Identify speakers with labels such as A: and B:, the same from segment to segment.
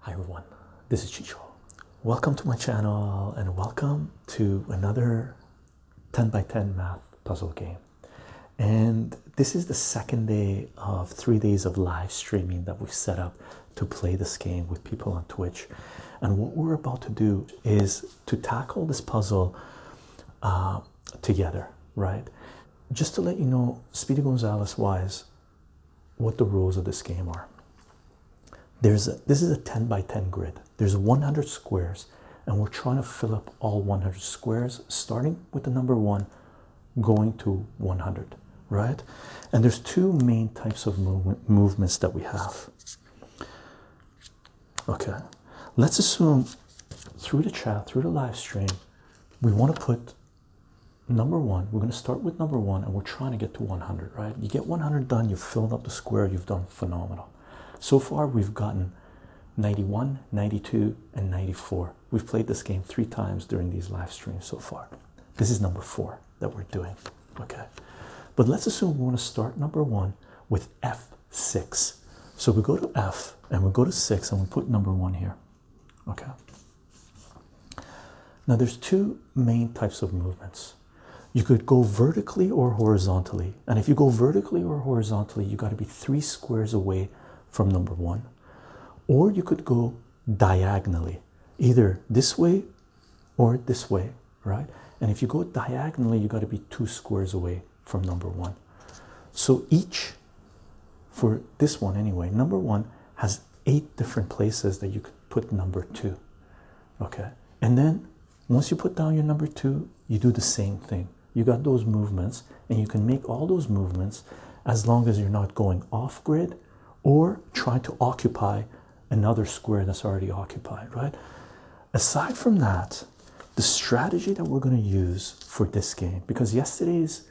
A: Hi everyone, this is Chicho. Welcome to my channel and welcome to another 10 by 10 math puzzle game. And this is the second day of three days of live streaming that we set up to play this game with people on Twitch. And what we're about to do is to tackle this puzzle um, together, right? Just to let you know, Speedy Gonzalez wise, what the rules of this game are. There's a, this is a 10 by 10 grid. There's 100 squares, and we're trying to fill up all 100 squares, starting with the number one, going to 100, right? And there's two main types of movements that we have. Okay, let's assume through the chat, through the live stream, we want to put number one, we're going to start with number one and we're trying to get to 100, right? You get 100 done, you've filled up the square, you've done phenomenal. So far, we've gotten 91, 92, and 94. We've played this game three times during these live streams so far. This is number four that we're doing, okay? But let's assume we want to start number one with F6. So we go to F and we go to 6 and we put number 1 here. Okay. Now there's two main types of movements. You could go vertically or horizontally. And if you go vertically or horizontally, you got to be three squares away from number one. Or you could go diagonally, either this way or this way, right? And if you go diagonally, you got to be two squares away from number one. So each, for this one anyway, number one has eight different places that you could put number two. Okay. And then once you put down your number two, you do the same thing. You got those movements, and you can make all those movements as long as you're not going off grid or trying to occupy another square that's already occupied, right? Aside from that, the strategy that we're going to use for this game because yesterday's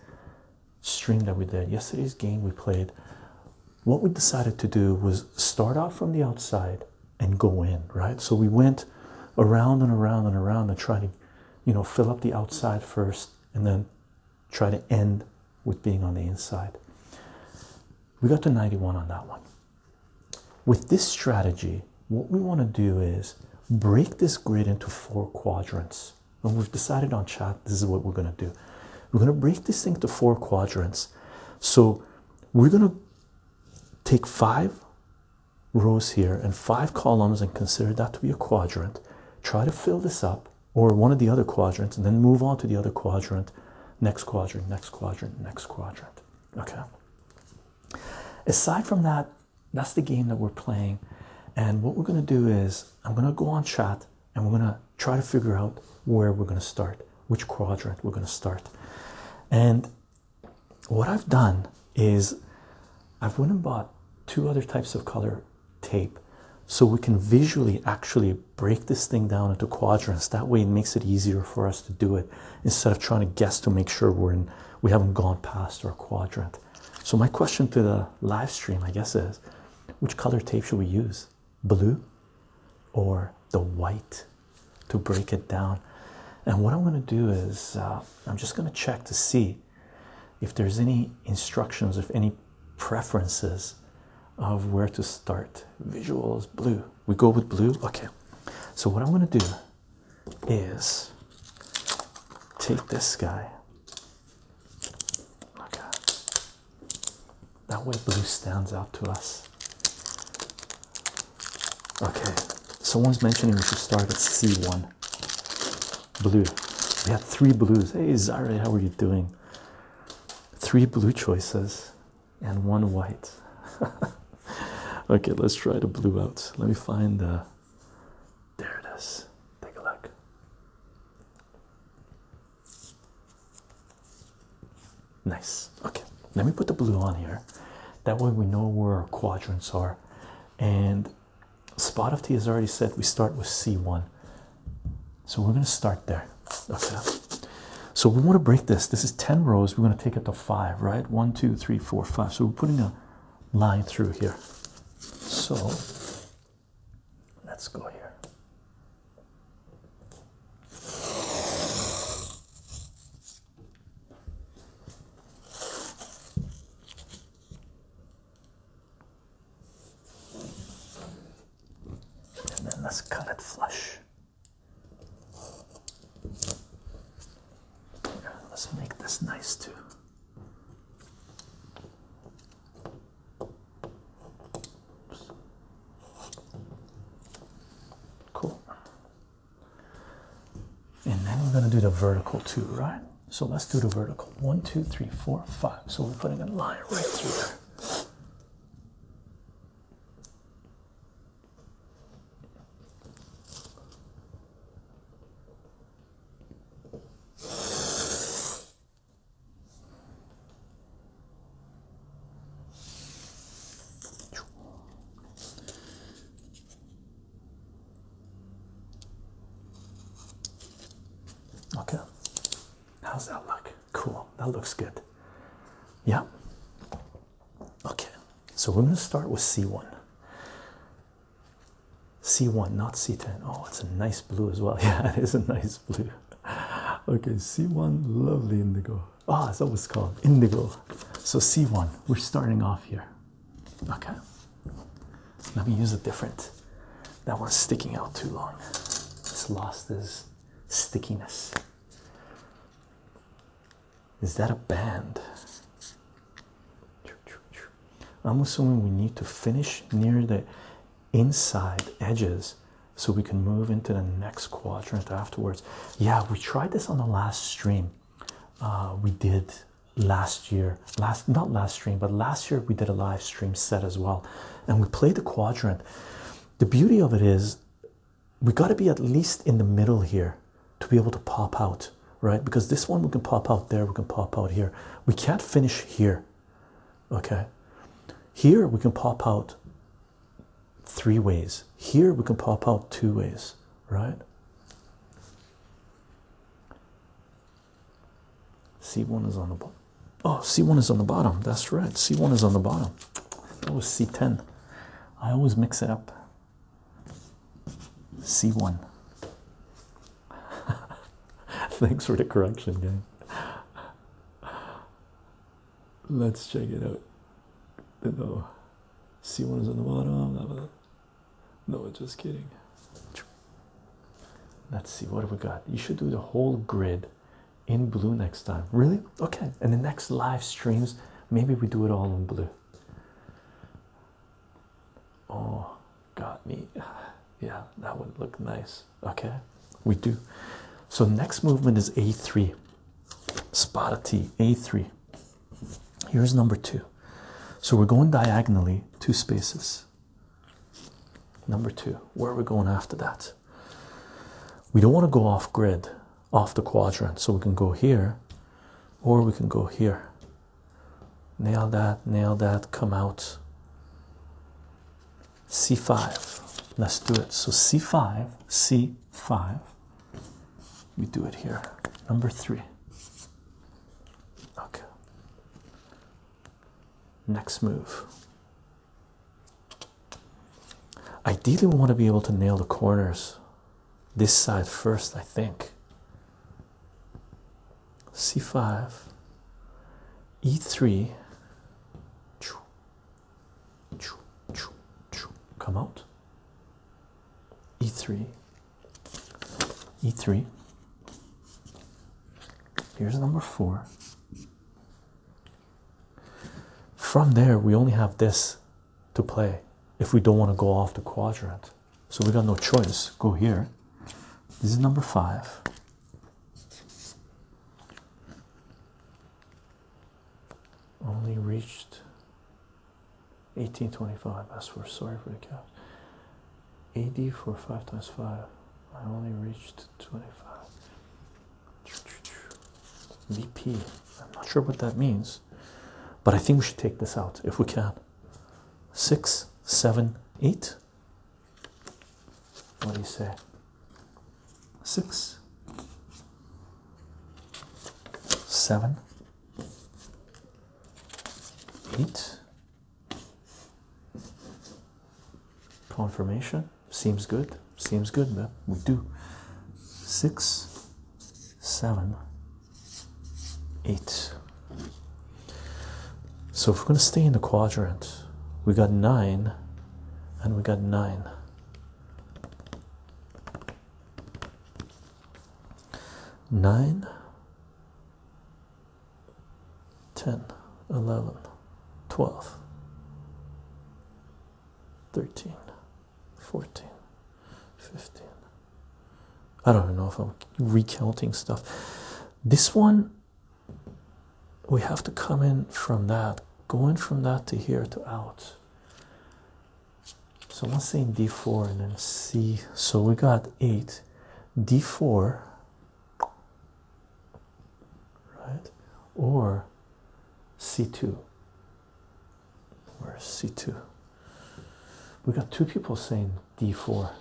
A: stream that we did yesterday's game we played what we decided to do was start off from the outside and go in right so we went around and around and around and try to you know fill up the outside first and then try to end with being on the inside we got to 91 on that one with this strategy what we want to do is break this grid into four quadrants. And we've decided on chat this is what we're going to do. We're going to break this thing to four quadrants. So we're going to take five rows here and five columns and consider that to be a quadrant. Try to fill this up or one of the other quadrants and then move on to the other quadrant, next quadrant, next quadrant, next quadrant. Okay. Aside from that, that's the game that we're playing. And what we're going to do is, I'm going to go on chat and we're going to try to figure out where we're going to start, which quadrant we're going to start. And what I've done is, I've went and bought two other types of color tape so we can visually actually break this thing down into quadrants. That way, it makes it easier for us to do it instead of trying to guess to make sure we're in, we haven't gone past our quadrant. So, my question to the live stream, I guess, is which color tape should we use? Blue or the white to break it down? And what I'm going to do is uh, I'm just going to check to see if there's any instructions, if any preferences of where to start. Visuals, blue. We go with blue? Okay. So, what I'm going to do is take this guy. Okay. That way blue stands out to us. Okay, someone's mentioning we should start at C1. Blue. We have three blues. Hey Zare, how are you doing? Three blue choices and one white. okay, let's try the blue out. Let me find the there it is. Take a look. Nice. Okay, let me put the blue on here. That way we know where our quadrants are. And Spot of Tea has already said we start with C1. So we're going to start there. So we want to break this. This is 10 rows. We're going to take it to 5, right? 1, 2, 3, 4, 5. So we're putting a line through here. So let's go here. And then let's cut it flush. Let's make this nice too. Cool. And then we're going to do the vertical too, right? So let's do the vertical. One, two, three, four, five. So we're putting a line right through there. Okay, how's that look? Cool, that looks good. Yeah, okay, so we're going to start with C1. C1, not C10. Oh, it's a nice blue as well. Yeah, it is a nice blue. Okay, C1, lovely indigo. Oh, it's always called, indigo. So C1, we're starting off here. Okay. Let me use a different. That one's sticking out too long. It's lost its stickiness. Is that a band? I'm assuming we need to finish near the inside edges so we can move into the next quadrant afterwards. Yeah, we tried this on the last stream. Uh, we did last year, last not last stream, but last year we did a live stream set as well, and we played the quadrant. The beauty of it is we got to be at least in the middle here to be able to pop out, right? Because this one we can pop out there, we can pop out here. We can't finish here, okay? Here we can pop out three ways. Here we can pop out two ways, right? C1 is on the bottom. Oh, C1 is on the bottom. That's right. C1 is on the bottom. That was C10. I always mix it up. C1. Thanks for the correction, gang. Let's check it out. No, C1 is on the bottom. No, just kidding. Let's see what have we got. You should do the whole grid in blue next time. Really? Okay. And the next live streams, maybe we do it all in blue. Oh, got me. Yeah, that would look nice. Okay, we do. So, next movement is A3. Spotted T, A3. Here's number two. So, we're going diagonally, two spaces. Number two, where are we going after that? We don't want to go off grid, off the quadrant, so we can go here or we can go here. Nail that, nail that, come out. C5. Let's do it. So C5, C5. We do it here. Number three. Okay. Next move. Ideally, we want to be able to nail the corners this side first, I think c5 e3 come out e3 e3 here's number 4 from there we only have this to play if we don't want to go off the quadrant so we got no choice. Go here. This is number five. Only reached 1825. As for sorry for the cap. AD for 5 times 5. I only reached 25. VP. I'm not sure what that means, but I think we should take this out if we can six, seven, eight. What do you say? Six, seven, eight. Confirmation seems good. Seems good, man. We do six, seven, eight. So if we're going to stay in the quadrant, we got nine and we got nine. Nine, ten, eleven, twelve, thirteen, fourteen, fifteen. I don't know if I'm recounting stuff. This one, we have to come in from that, going from that to here to out. So I'm saying d4 and then c. So we got 8. d4, right? Or c2. Where's c2? We got two people saying d4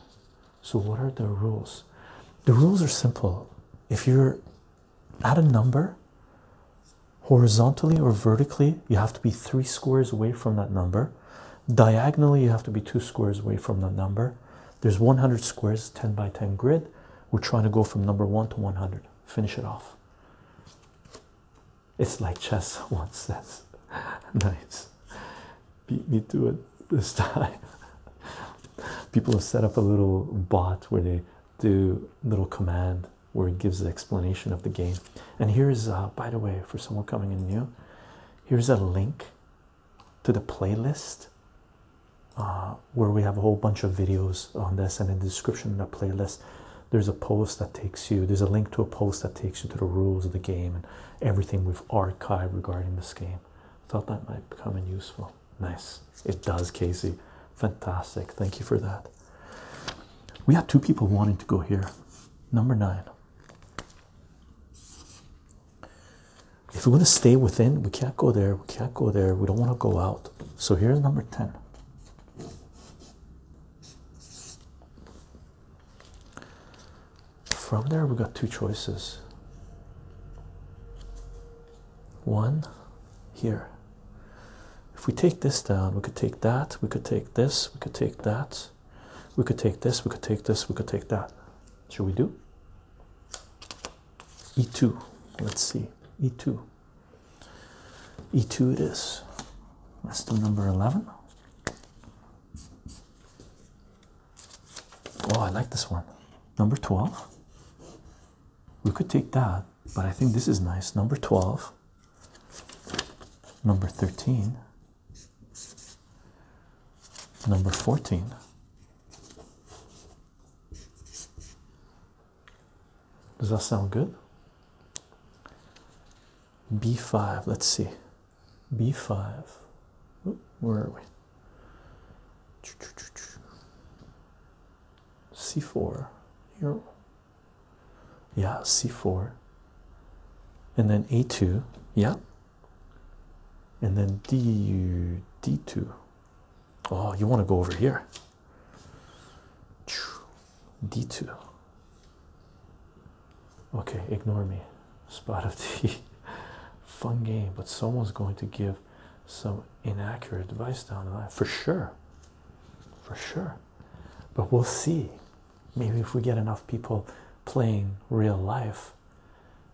A: so what are the rules the rules are simple if you're at a number horizontally or vertically you have to be three squares away from that number diagonally you have to be two squares away from that number there's 100 squares 10 by 10 grid we're trying to go from number 1 to 100 finish it off it's like chess one says nice beat me to it this time. People have set up a little bot where they do little command where it gives the explanation of the game. And here's, uh, by the way, for someone coming in new, here's a link to the playlist uh, where we have a whole bunch of videos on this. And in the description of the playlist, there's a post that takes you, there's a link to a post that takes you to the rules of the game and everything we've archived regarding this game. I Thought that might become useful. Nice, it does, Casey. Fantastic. Thank you for that. We have two people wanting to go here. Number nine. If we want to stay within, we can't go there. We can't go there. We don't want to go out. So here's number 10 from there we got two choices one here if we take this down we could take that we could take this we could take that we could take this we could take this we could take that should we do e2 let's see e2 e2 it is that's the number 11 Oh, I like this one. Number 12. We could take that, but I think this is nice. Number 12, number 13, number 14. Does that sound good? B5, let's see b5 where are we c4 here yeah c4 and then a2 yeah and then d d2 oh you want to go over here d2 Okay, ignore me. Spot of tea. Fun game, but someone's going to give some inaccurate advice down the line for sure. For sure. But we'll see. Maybe if we get enough people playing real life,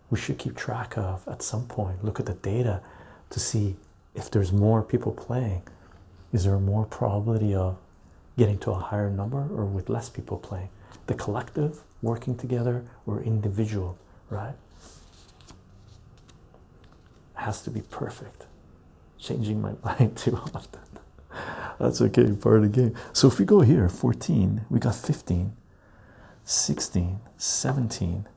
A: we should keep track of at some point. Look at the data to see if there's more people playing. Is there more probability of getting to a higher number or with less people playing the collective working together or individual right has to be perfect changing my mind too often that's okay part of the game so if we go here 14 we got 15 16 17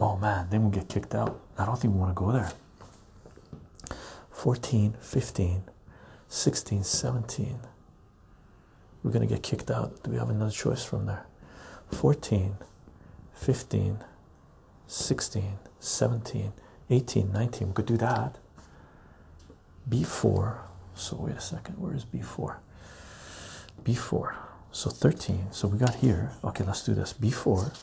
A: oh man then we'll get kicked out i don't think we want to go there 14 15 16, 17. We're going to get kicked out. Do we have another choice from there? 14, 15, 16, 17, 18, 19. We could do that. B4. So wait a second. Where is B4? B4. So 13. So we got here. Okay, let's do this. B4.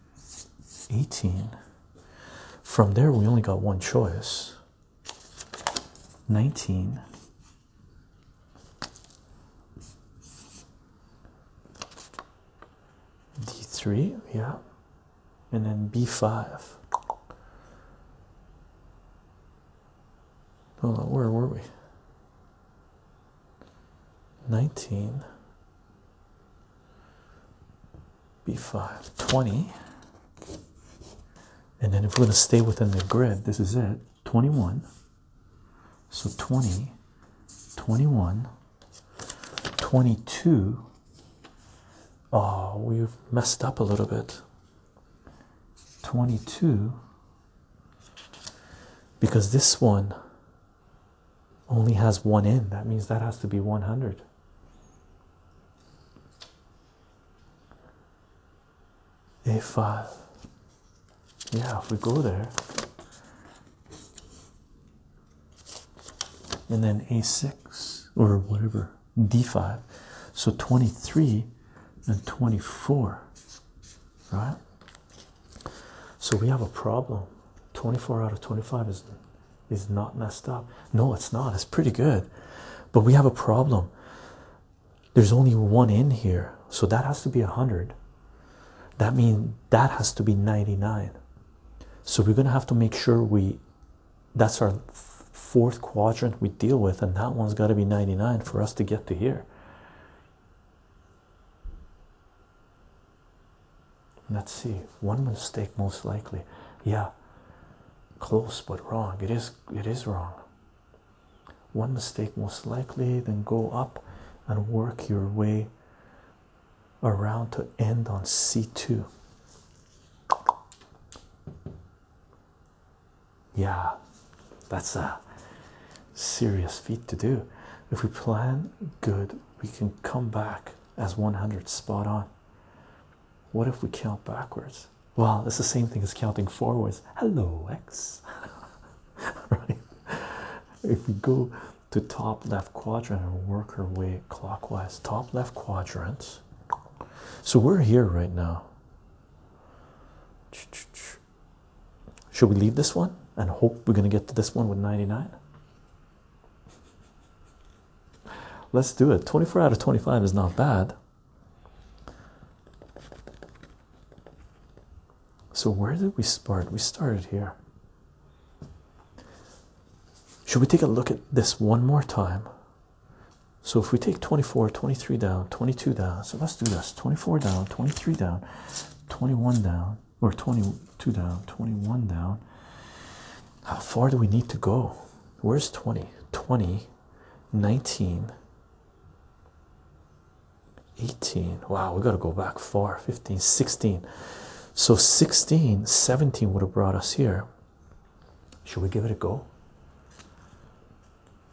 A: 18. From there, we only got one choice 19. D3, yeah, and then B5. Hold on, where were we? 19 b five twenty, and then if we're going to stay within the grid this is it 21 so 20 21 22 oh we've messed up a little bit 22 because this one only has one end. That means that has to be 100. If, uh, yeah, if we go there, and then a6 or whatever, d5, so 23 and 24, right? So we have a problem. 24 out of 25 is is not messed up. No, it's not. It's pretty good. But we have a problem. There's only one in here. So that has to be 100. That means that has to be 99. So we're going to have to make sure we, that's our fourth quadrant we deal with. And that one's got to be 99 for us to get to here. Let's see. One mistake most likely. Yeah. Close but wrong. It is it is wrong. One mistake most likely, then go up and work your way around to end on C2. Yeah, that's a serious feat to do. If we plan good, we can come back as 100 spot on what if we count backwards well it's the same thing as counting forwards hello x right if we go to top left quadrant and work our way clockwise top left quadrant so we're here right now should we leave this one and hope we're going to get to this one with 99 Let's do it. 24 out of 25 is not bad. So, where did we start? We started here. Should we take a look at this one more time? So, if we take 24, 23 down, 22 down, so let's do this 24 down, 23 down, 21 down, or 22 down, 21 down. How far do we need to go? Where's 20? 20, 19, 18. Wow, we got to go back far. 15, 16. So 16, 17 would have brought us here. Should we give it a go?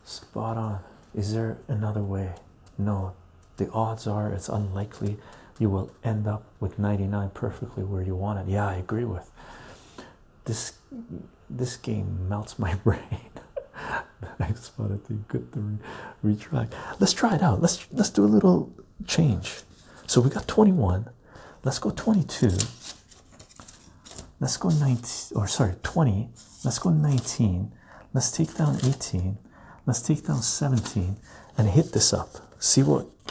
A: Spot on. Is there another way? No. The odds are it's unlikely you will end up with 99 perfectly where you want it. Yeah, I agree with this. This game melts my brain. Thanks for it. Good to re retract. Let's try it out. Let's let's do a little change. So we got 21. Let's go 22. Let's go 19 or sorry 20. Let's go 19. Let's take down 18. Let's take down 17 and hit this up. See what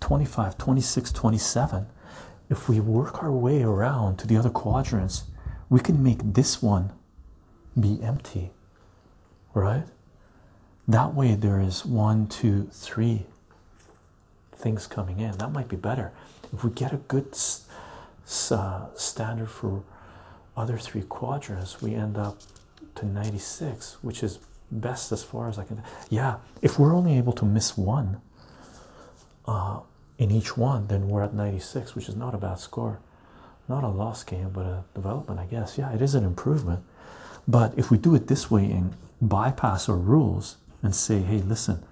A: 25 26 27 if we work our way around to the other quadrants we can make this one be empty right that way there is one two three things coming in that might be better if we get a good uh, standard for other three quadrants we end up to 96 which is best as far as i can yeah if we're only able to miss one uh, in each one, then we're at 96, which is not a bad score. Not a loss game, but a development, I guess. Yeah, it is an improvement. But if we do it this way and bypass our rules and say, hey, listen,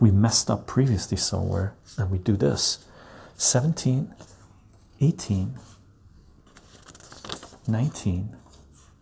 A: we messed up previously somewhere, and we do this 17, 18, 19,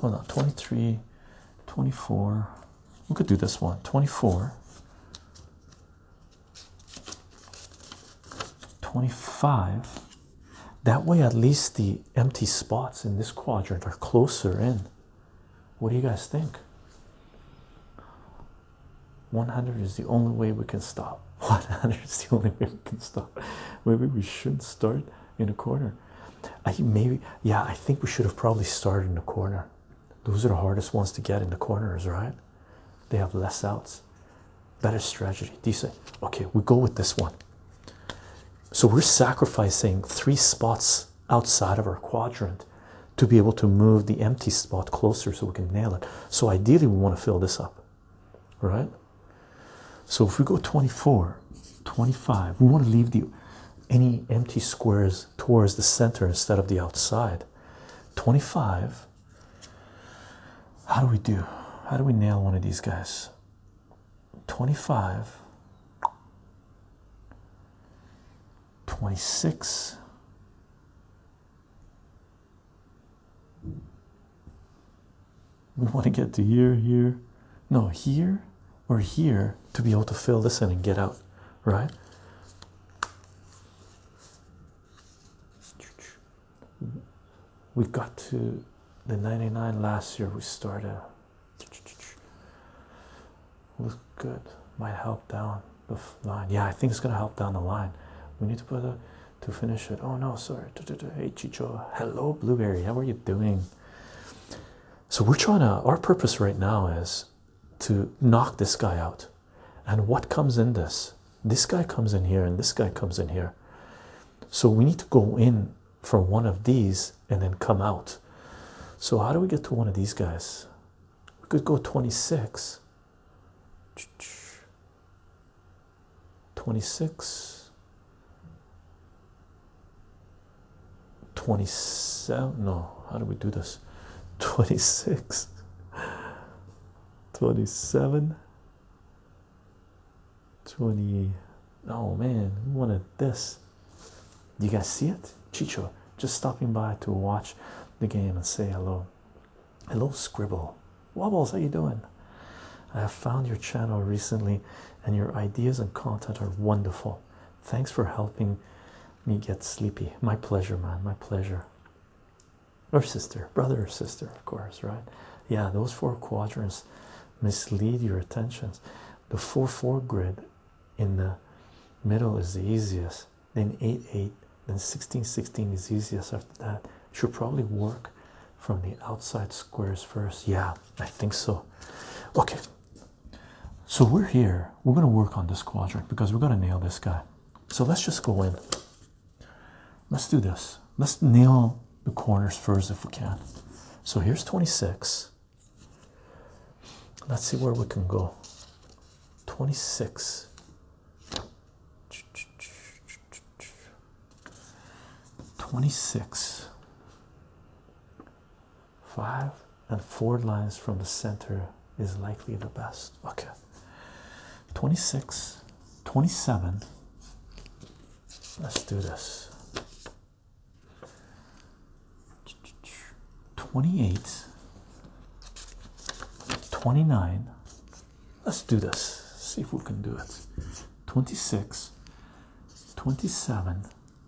A: hold on 23 24 we could do this one 24 25 that way at least the empty spots in this quadrant are closer in what do you guys think 100 is the only way we can stop 100 is the only way we can stop maybe we should not start in a corner I maybe yeah, I think we should have probably started in the corner. Those are the hardest ones to get in the corners, right? They have less outs. Better strategy. Decent. Okay, we go with this one. So we're sacrificing three spots outside of our quadrant to be able to move the empty spot closer so we can nail it. So ideally we want to fill this up. Right? So if we go 24, 25, we want to leave the any empty squares towards the center instead of the outside. 25. How do we do? How do we nail one of these guys? 25. 26. 26 we want to get to here, here, no, here, we're here to be able to fill this in and get out, right? We got to the 99 last year, we started. Look good, might help down the line. Yeah, I think it's gonna help down the line. We need to put a to finish it. Oh no, sorry. Hey, Chicho, hello, Blueberry, how are you doing? So we're trying to, our purpose right now is to knock this guy out. And what comes in this? This guy comes in here and this guy comes in here. So we need to go in for one of these and then come out. So how do we get to one of these guys? We could go 26. 26 27 no how do we do this 26 27 20 oh man we wanted this you guys see it chicho just stopping by to watch the game and say hello hello scribble wobbles how you doing i have found your channel recently and your ideas and content are wonderful Thanks for helping me get sleepy. My pleasure, man. My pleasure. Or sister, brother or sister, of course, right? Yeah, those four quadrants mislead your attentions. The 4 4 grid in the middle is the easiest, then 8 8, then 16 16 is easiest after that. Should probably work from the outside squares first. Yeah, I think so. Okay, so we're here. We're going to work on this quadrant because we're going to nail this guy. So let's just go in. Let's do this. Let's nail the corners first if we can. So here's 26. Let's see where we can go. 26. Twenty-six five and four lines from the center is likely the best. Okay, 26, 27. Let's do this. 28, 29. Let's do this. See if we can do it. 26, 27,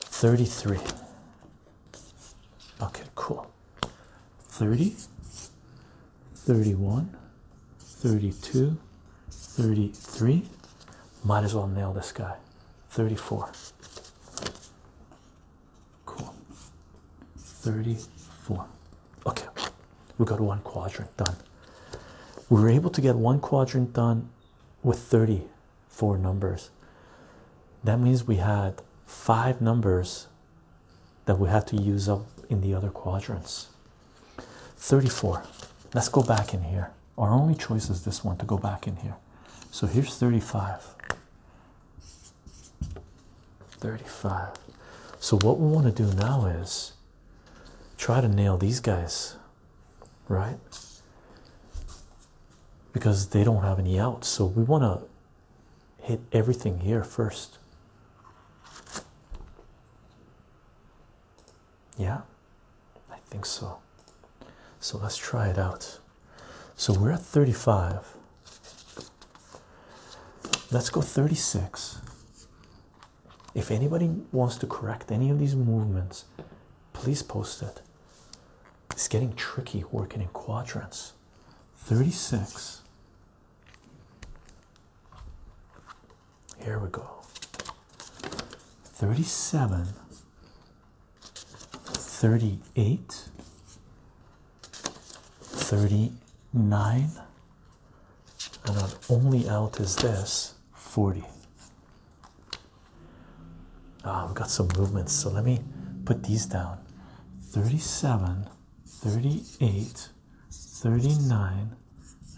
A: 33 okay cool 30 31 32 33 might as well nail this guy 34 cool 34 okay we got one quadrant done we were able to get one quadrant done with 30 four numbers. That means we had five numbers that we had to use up in the other quadrants. 34. Let's go back in here. Our only choice is this one to go back in here. So here's 35. 35. So what we want to do now is try to nail these guys right? Because they don't have any outs, so we want to hit everything here first. Yeah, I think so. So let's try it out. So we're at 35. Let's go 36. If anybody wants to correct any of these movements, please post it. It's getting tricky working in quadrants. 36. Here we go. 37. 38. 39. And our only out is this 40. Oh, we've got some movements, so let me put these down 37, 38, 39,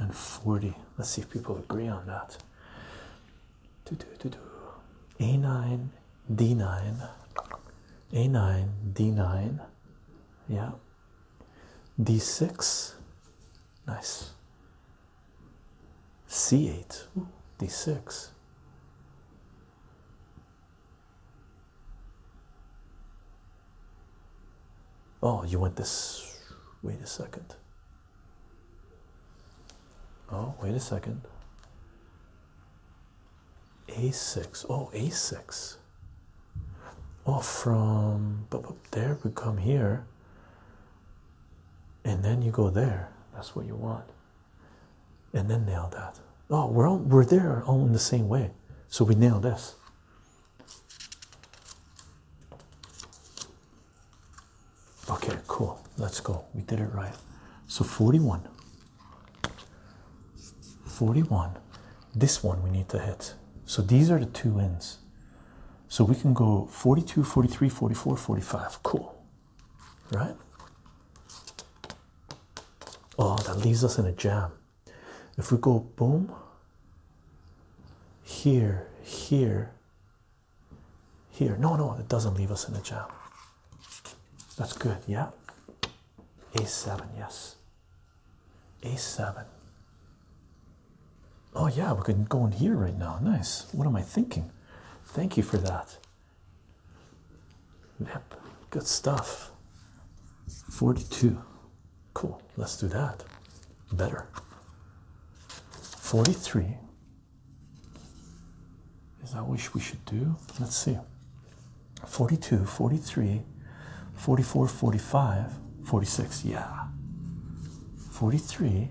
A: and 40. Let's see if people agree on that. A9, D9, A9, D9, yeah, D6, nice, c8 d6 oh you want this wait a second oh wait a second a6 oh a6 oh from but there we come here and then you go there that's what you want and then nail that oh we're all we're there all in the same way so we nail this okay cool let's go we did it right so 41 41 this one we need to hit so these are the two ends so we can go 42, 43, 44, 45. Cool. Right? Oh, that leaves us in a jam. If we go boom, here, here, here. No, no, it doesn't leave us in a jam. That's good, yeah? A7, yes. A7. Oh, yeah, we can go in here right now. Nice. What am I thinking? Thank you for that. Yep, good stuff. 42. Cool, let's do that. Better. 43. Is that what we should do? Let's see. 42, 43, 44, 45, 46. Yeah. 43.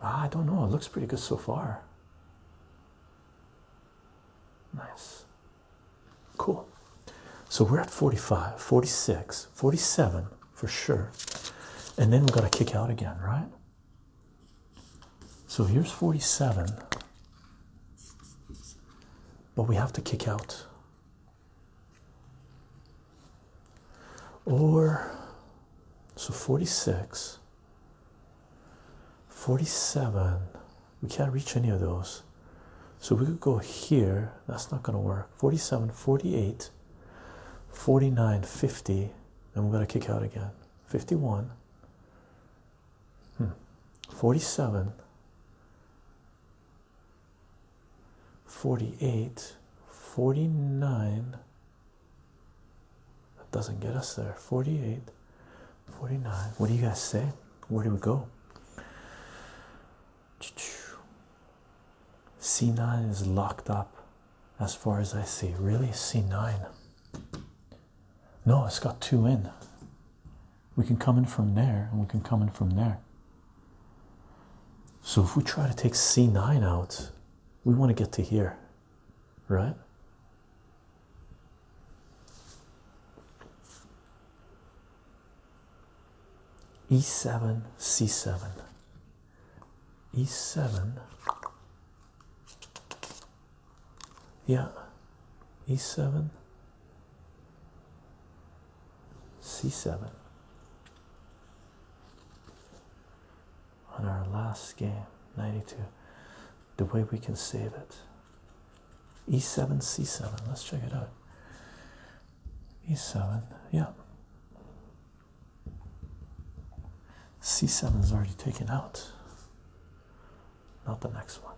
A: Ah, I don't know. It looks pretty good so far. Nice. Cool. So we're at 45, 46, 47 for sure. And then we've got to kick out again, right? So here's 47. But we have to kick out. Or so 46, 47. We can't reach any of those. So we could go here. That's not going to work. 47, 48, 49, 50. And we're going to kick out again. 51. Hmm, 47 48 49 that doesn't get us there 48 49 what do you guys say where do we go c9 is locked up as far as i see really c9 no it's got two in we can come in from there and we can come in from there so if we try to take C9 out, we want to get to here, right? E7, C7, E7, yeah, E7, C7 on our last game 92 the way we can save it E7 C7 let's check it out E7 yeah C7 is already taken out not the next one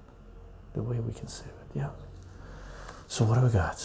A: the way we can save it yeah so what do we got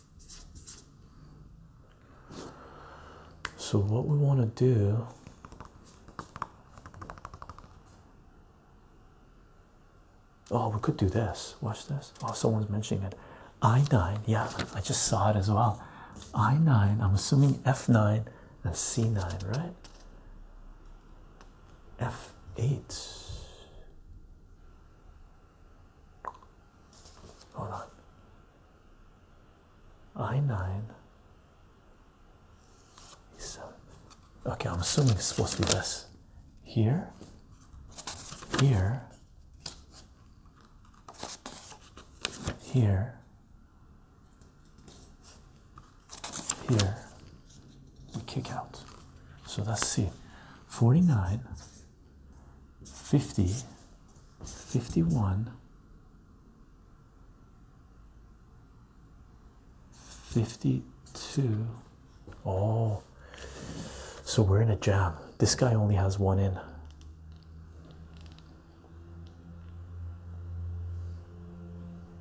A: So what we want to do Oh, we could do this. Watch this. Oh, someone's mentioning it. I9, yeah, I just saw it as well. I9, I'm assuming F9 and C9, right? F8. Hold on. I nine. E seven. Okay, I'm assuming it's supposed to be this. Here. Here. Here. Here. We kick out. So let's see. Forty nine 50, 51, 52. Oh, so we're in a jam. This guy only has one in.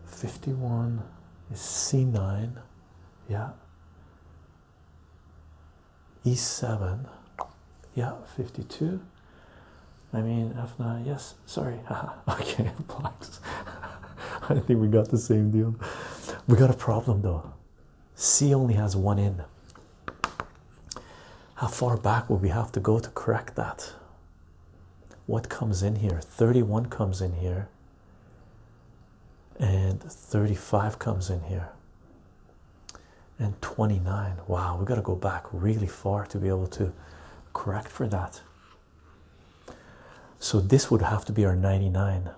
A: Fifty-one is C nine, yeah e7 yeah 52 i mean Afna, yes sorry okay i think we got the same deal we got a problem though c only has one in how far back will we have to go to correct that what comes in here 31 comes in here and 35 comes in here and 29 wow we got to go back really far to be able to correct for that so this would have to be our 99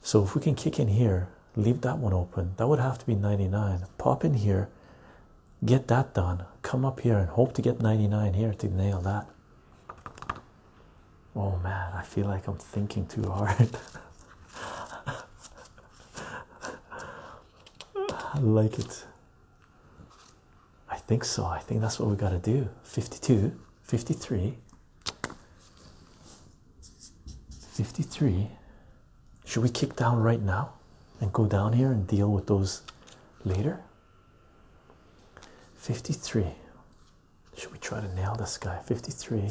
A: so if we can kick in here leave that one open that would have to be 99 pop in here get that done come up here and hope to get 99 here to nail that oh man i feel like i'm thinking too hard I like it. I think so. I think that's what we got to do. 52, 53, 53. Should we kick down right now and go down here and deal with those later? 53. Should we try to nail this guy? 53.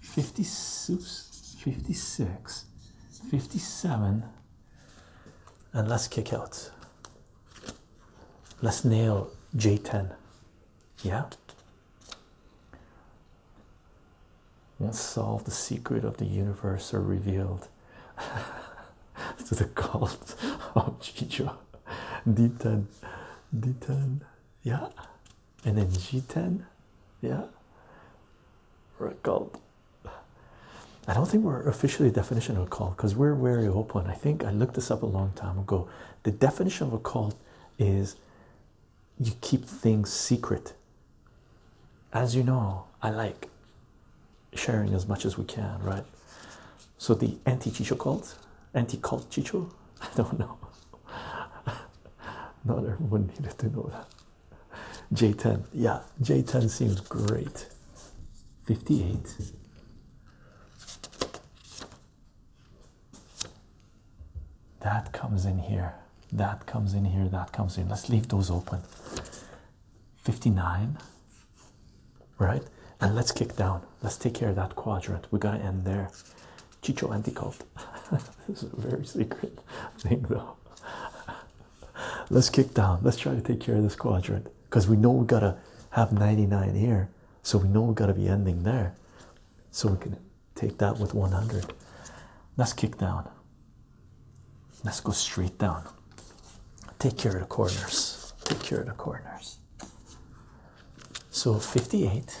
A: 56, 56, 57, and let's kick out. Let's nail J10. Yeah. Let's solve the secret of the universe are revealed to the cult of Chicho. D10, D10, yeah, and then G10. Yeah, recalled. I don't think we're officially definition of a cult because we're very open. I think I looked this up a long time ago. The definition of a cult is you keep things secret. As you know, I like sharing as much as we can, right? So the anti-chicho cult, anti-cult chicho, I don't know. Not everyone needed to know that. J10, yeah, J10 seems great. 58. That comes in here. That comes in here. That comes in. Let's leave those open. 59. Right? And let's kick down. Let's take care of that quadrant. We are going to end there. Chicho Anticult. this is a very secret thing, though. Let's kick down. Let's try to take care of this quadrant because we know we gotta have 99 here, so we know we gotta be ending there. So we can take that with 100. Let's kick down. Let's go straight down. Take care of the corners. Take care of the corners. So 58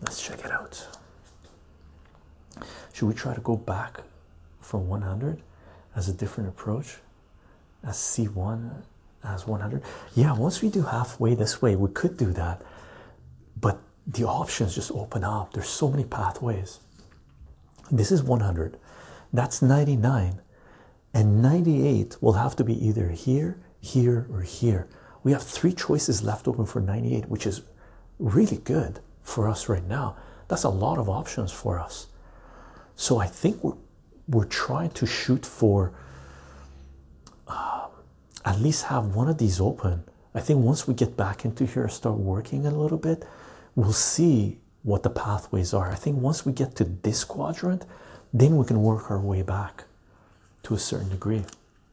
A: Let's check it out. Should we try to go back from 100 as a different approach? As C1 as 100? Yeah, once we do halfway this way, we could do that. But the options just open up. There's so many pathways. This is 100. That's 99. And 98 will have to be either here, here, or here. We have three choices left open for 98, which is really good for us right now. That's a lot of options for us. So I think we're we're trying to shoot for um, at least have one of these open. I think once we get back into here, start working a little bit, we'll see what the pathways are. I think once we get to this quadrant, then we can work our way back to a certain degree.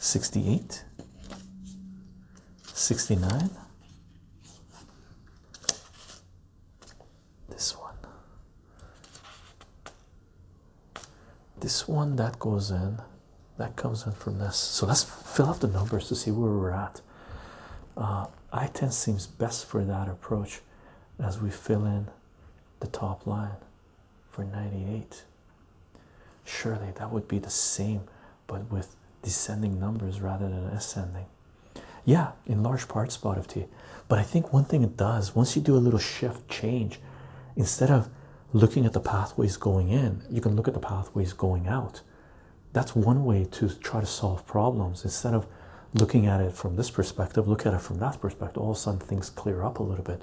A: 68 69 this one this one that goes in that comes in from this so let's fill up the numbers to see where we're at uh, i10 seems best for that approach as we fill in the top line for 98 Surely that would be the same, but with descending numbers rather than ascending. Yeah, in large part, spot of tea. But I think one thing it does, once you do a little shift change, instead of looking at the pathways going in, you can look at the pathways going out. That's one way to try to solve problems. Instead of looking at it from this perspective, look at it from that perspective. All of a sudden, things clear up a little bit.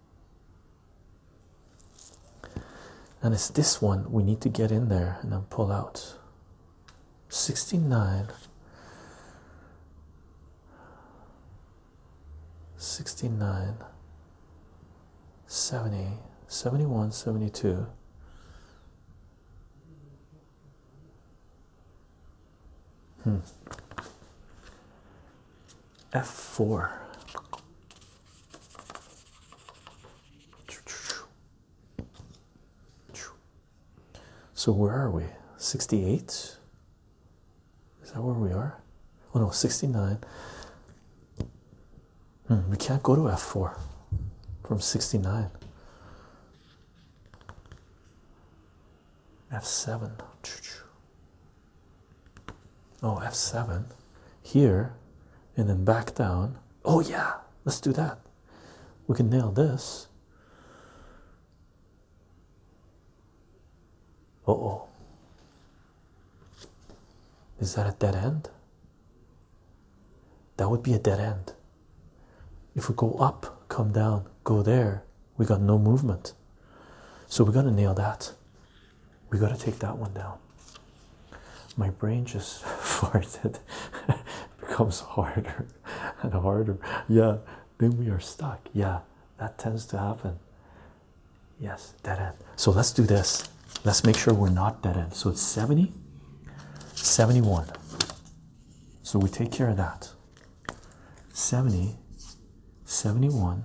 A: and it's this one we need to get in there and then pull out 69 69 70 71 72 Hmm. F4. So where are we? 68? Is that where we are? Oh no, 69. Hmm, we can't go to F4 from 69. F7. Oh, f7 here and then back down. Oh, yeah, let's do that. We can nail this. Uh oh, is that a dead end? That would be a dead end. If we go up, come down, go there, we got no movement. So we're gonna nail that we got to take that one down. My brain just farted, becomes harder and harder. Yeah, then we are stuck. Yeah, that tends to happen. Yes, dead end. So let's do this. Let's make sure we're not dead end. So it's 70, 71. So we take care of that. 70, 71,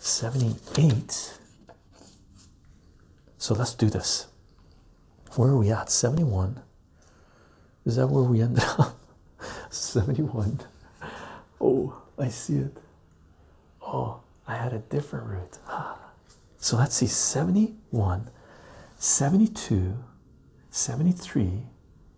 A: 78. So let's do this. Where are we at? 71. Is that where we ended up? 71. Oh, I see it. Oh, I had a different route. So let's see 71, 72, 73,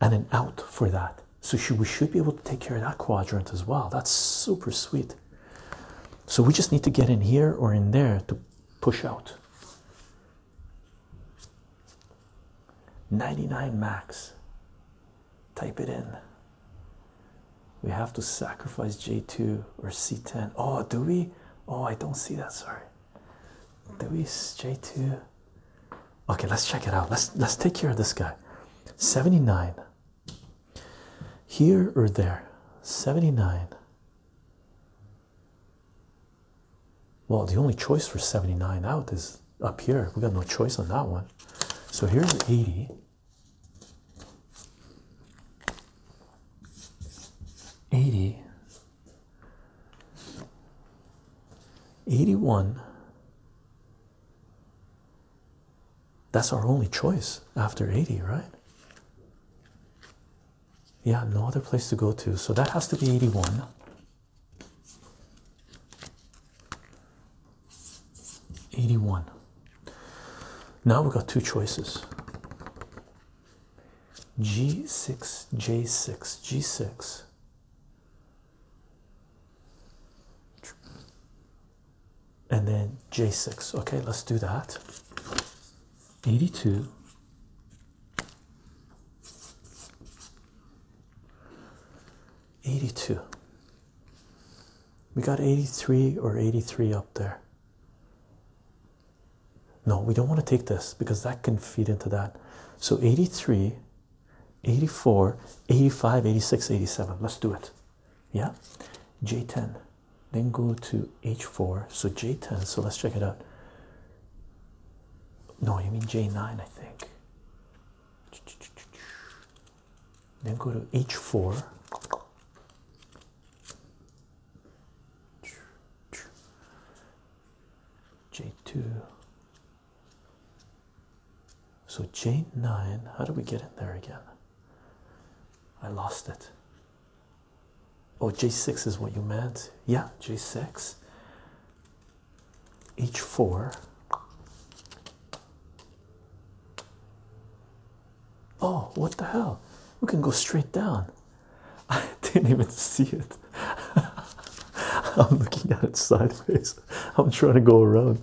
A: and an out for that. So we should be able to take care of that quadrant as well. That's super sweet. So we just need to get in here or in there to push out. 99 max. Type it in. We have to sacrifice J2 or C10. Oh, do we? Oh, I don't see that. Sorry. Do we J2? Okay, let's check it out. Let's let's take care of this guy. 79. Here or there? 79. Well, the only choice for 79 out is up here. We got no choice on that one. So here's 80. Eighty, eighty-one, that's our only choice after 80, right? Yeah, no other place to go to. So that has to be 81. Eighty-one. Now we've got two choices. G six J six G six and then J6. Okay, let's do that. 82. Eighty-two. We got eighty-three or eighty-three up there. No, we don't want to take this because that can feed into that. So eighty-three 84 85 86 87 let's do it yeah j10 then go to h4 so j10 so let's check it out no you mean j9 i think then go to h4 j2 so J9, how do we get in there again? I lost it. Oh, J6 is what you meant. Yeah, J6. H4. Oh, what the hell? We can go straight down. I didn't even see it. I'm looking at it sideways. I'm trying to go around.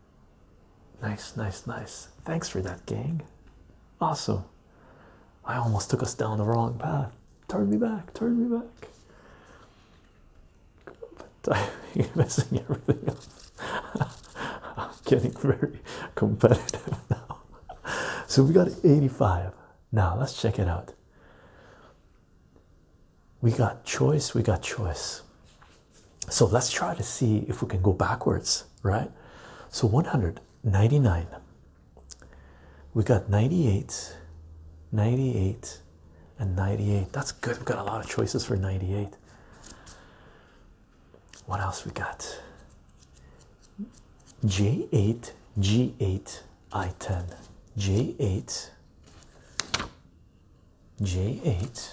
A: Nice, nice, nice. Thanks for that, gang. Awesome. I almost took us down the wrong path. Turn me back, turn me back. But I'm messing everything up. I'm getting very competitive now. So we got 85. Now let's check it out. We got choice, we got choice. So let's try to see if we can go backwards, right? So 199. We got 98, 98, and 98. That's good. We've got a lot of choices for 98. What else we got? J8, G8, I10. J8, J8,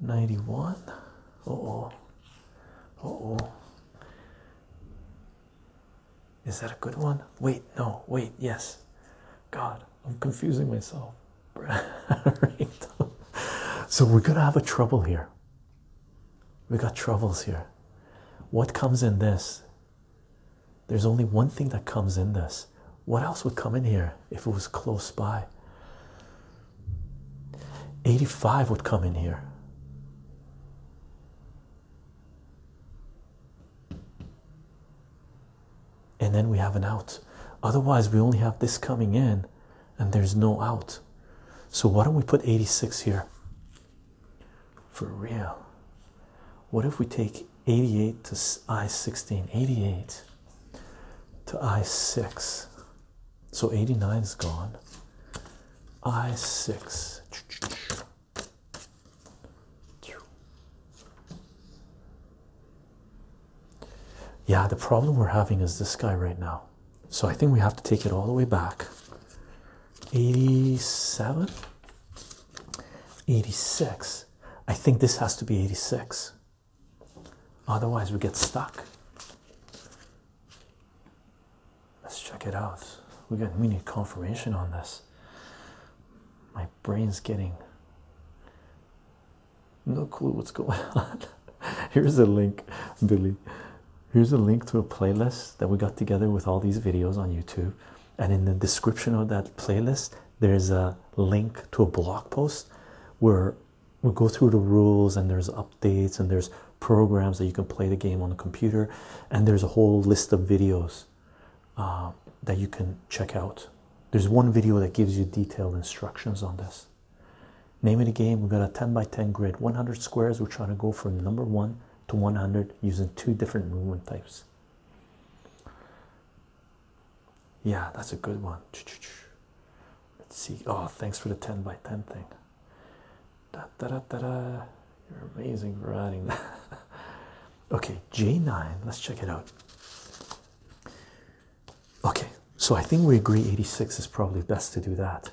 A: 91 uh oh uh oh is that a good one wait no wait yes god i'm confusing myself so we're gonna have a trouble here we got troubles here what comes in this there's only one thing that comes in this what else would come in here if it was close by 85 would come in here and then we have an out otherwise we only have this coming in and there's no out so why don't we put 86 here for real what if we take 88 to I16, 88 to I6. So 89 is gone. I6. Yeah, the problem we're having is this guy right now. So I think we have to take it all the way back. 87, 86. I think this has to be 86. Otherwise, we get stuck. Let's check it out. We got we need confirmation on this. My brain's getting no clue what's going on. Here's a link, Billy. Here's a link to a playlist that we got together with all these videos on YouTube. And in the description of that playlist, there's a link to a blog post where we go through the rules and there's updates and there's programs that you can play the game on the computer and there's a whole list of videos uh, that you can check out there's one video that gives you detailed instructions on this name of the game we've got a 10 by 10 grid 100 squares we're trying to go from number one to 100 using two different movement types yeah, that's a good one. Let's see. Oh, thanks for the 10 by 10 thing. You're amazing for adding that. okay, J9. Let's check it out. Okay, so I think we agree 86 is probably best to do that.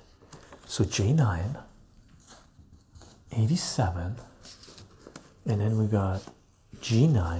A: So J9, 87, and then we got G9,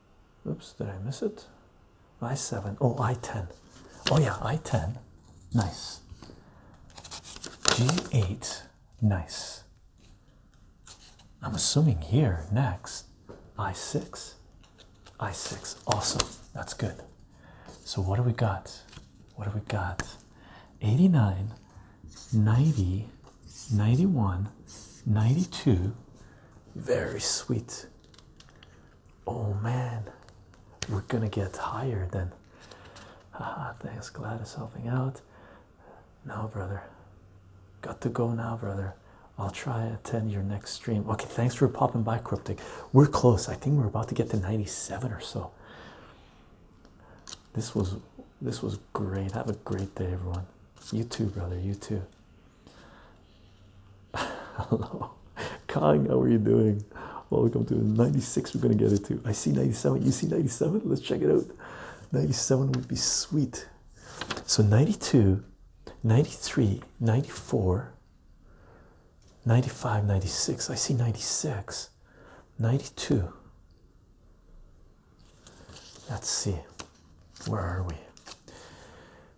A: Oops, did I miss it? I7. Oh, I10. Oh, yeah, I10. Nice. G8. Nice. I'm assuming here next. I6. I6. Awesome. That's good. So, what do we got? What do we got? 89, 90, 91, 92. Very sweet oh man, we're gonna get higher then. Haha, thanks, Gladys, helping out. Now, brother, got to go now, brother. I'll try attend your next stream. Okay, thanks for popping by, Cryptic. We're close. I think we're about to get to 97 or so. This was this was great. Have a great day, everyone. You too, brother. You too. Hello, Kong, how are you doing? Welcome to 96. We're gonna get it to. I see 97. You see 97? Let's check it out. 97 would be sweet. So 92, 93, 94, 95, 96. I see 96, 92. Let's see. Where are we?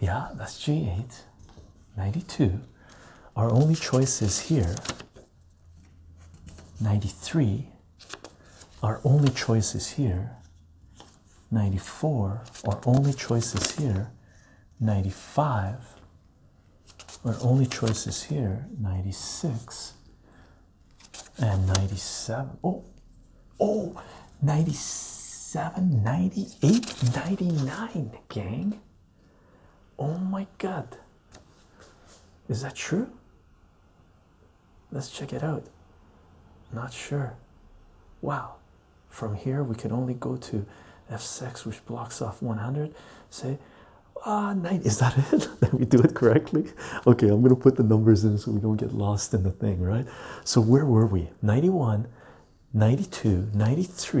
A: yeah, that's G8 92. Our only choice is here 93. Our only choice is here 94. Our only choice is here 95. Our only choice is here 96 and 97. Oh, oh, 97, 98, 99, gang. Oh my god, is that true? Let's check it out. Not sure. Wow, from here we can only go to f6, which blocks off 100. Say, ah, uh, Is that it? Did we do it correctly? Okay, I'm gonna put the numbers in so we don't get lost in the thing, right? So, where were we? 91, 92, 93,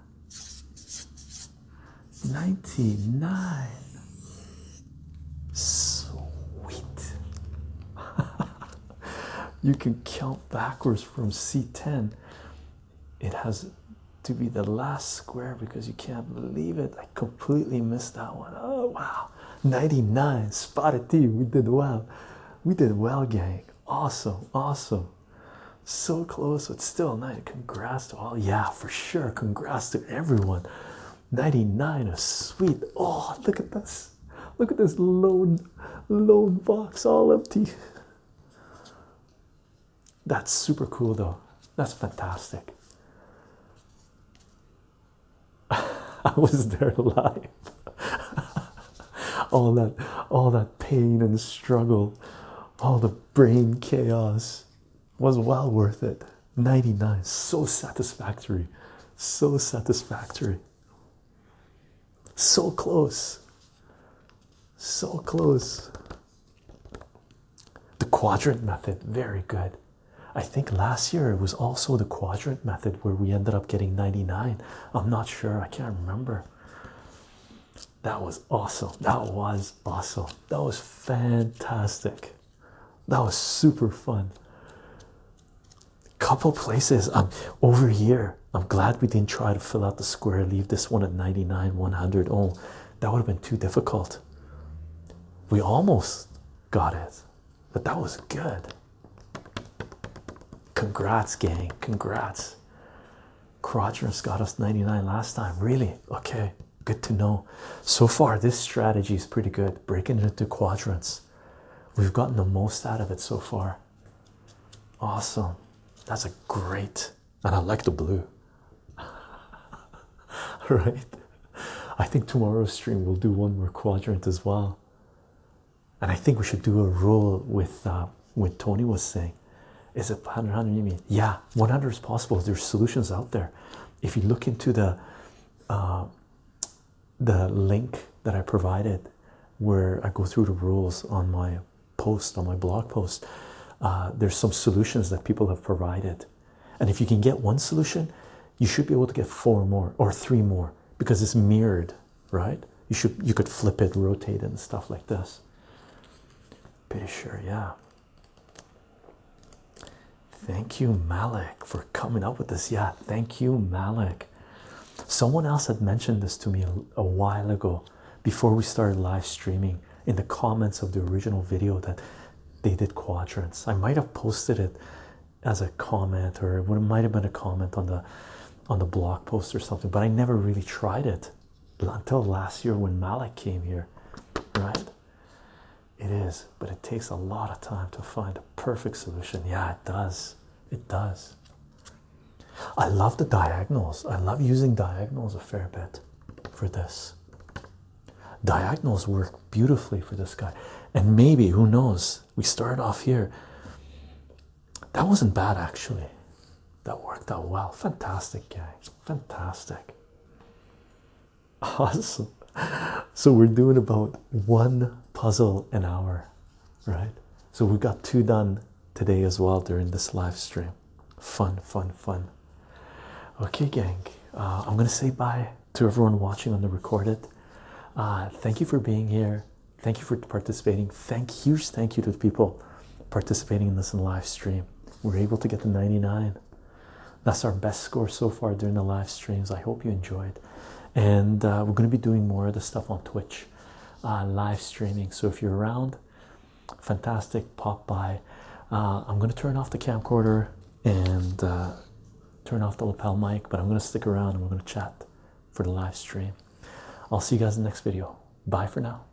A: 99 sweet you can count backwards from c10 it has to be the last square because you can't believe it i completely missed that one. Oh wow 99 spotted t we did well we did well gang awesome awesome so close but still nine congrats to all yeah for sure congrats to everyone 99 is sweet oh look at this look at this loan loan box all empty that's super cool though that's fantastic i was there alive. all that all that pain and struggle all the brain chaos was well worth it. 99, so satisfactory, so satisfactory, so close, so close. The quadrant method, very good. I think last year it was also the quadrant method where we ended up getting 99. I'm not sure, I can't remember. That was awesome. That was awesome. That was fantastic. That was super fun. Couple places. I'm um, over here. I'm glad we didn't try to fill out the square. Leave this one at 99, 100. Oh, that would have been too difficult. We almost got it, but that was good. Congrats, gang. Congrats. Quadrants got us 99 last time. Really? Okay. Good to know. So far, this strategy is pretty good. Breaking it into quadrants. We've gotten the most out of it so far. Awesome. That's a great. And I like the blue. right? I think tomorrow's stream we'll do one more quadrant as well. And I think we should do a roll with uh, what Tony was saying. Is it 100, 100 you mean? Yeah, 100 is possible. There's solutions out there. If you look into the uh, the link that I provided, where I go through the rules on my post on my blog post, uh, there's some solutions that people have provided, and if you can get one solution, you should be able to get four more or three more because it's mirrored, right? You should you could flip it, rotate it, and stuff like this. Pretty sure, yeah. Thank you, Malik, for coming up with this. Yeah, thank you, Malik. Someone else had mentioned this to me a while ago before we started live streaming in the comments of the original video that they did quadrants. I might have posted it as a comment or it might have been a comment on the on the blog post or something, but I never really tried it until last year when Malik came here, right? It is, but it takes a lot of time to find a perfect solution. Yeah, it does. It does. I love the diagonals. I love using diagonals a fair bit for this. Diagonals work beautifully for this guy. And maybe, who knows, we started off here. That wasn't bad actually. That worked out well. Fantastic, guys fantastic awesome so we're doing about one puzzle an hour right so we got two done today as well during this live stream fun fun fun okay gang uh, i'm gonna say bye to everyone watching on the recorded uh, thank you for being here thank you for participating thank huge thank you to the people participating in this live stream we're able to get the 99. That's our best score so far during the live streams. I hope you enjoyed. And uh, we're going to be doing more of the stuff on Twitch, uh, live streaming. So if you're around, fantastic, pop by. Uh, I'm going to turn off the camcorder and turn off the lapel mic, but I'm going to stick around and we're going to chat for the live stream. I'll see you guys in the next video. Bye for now.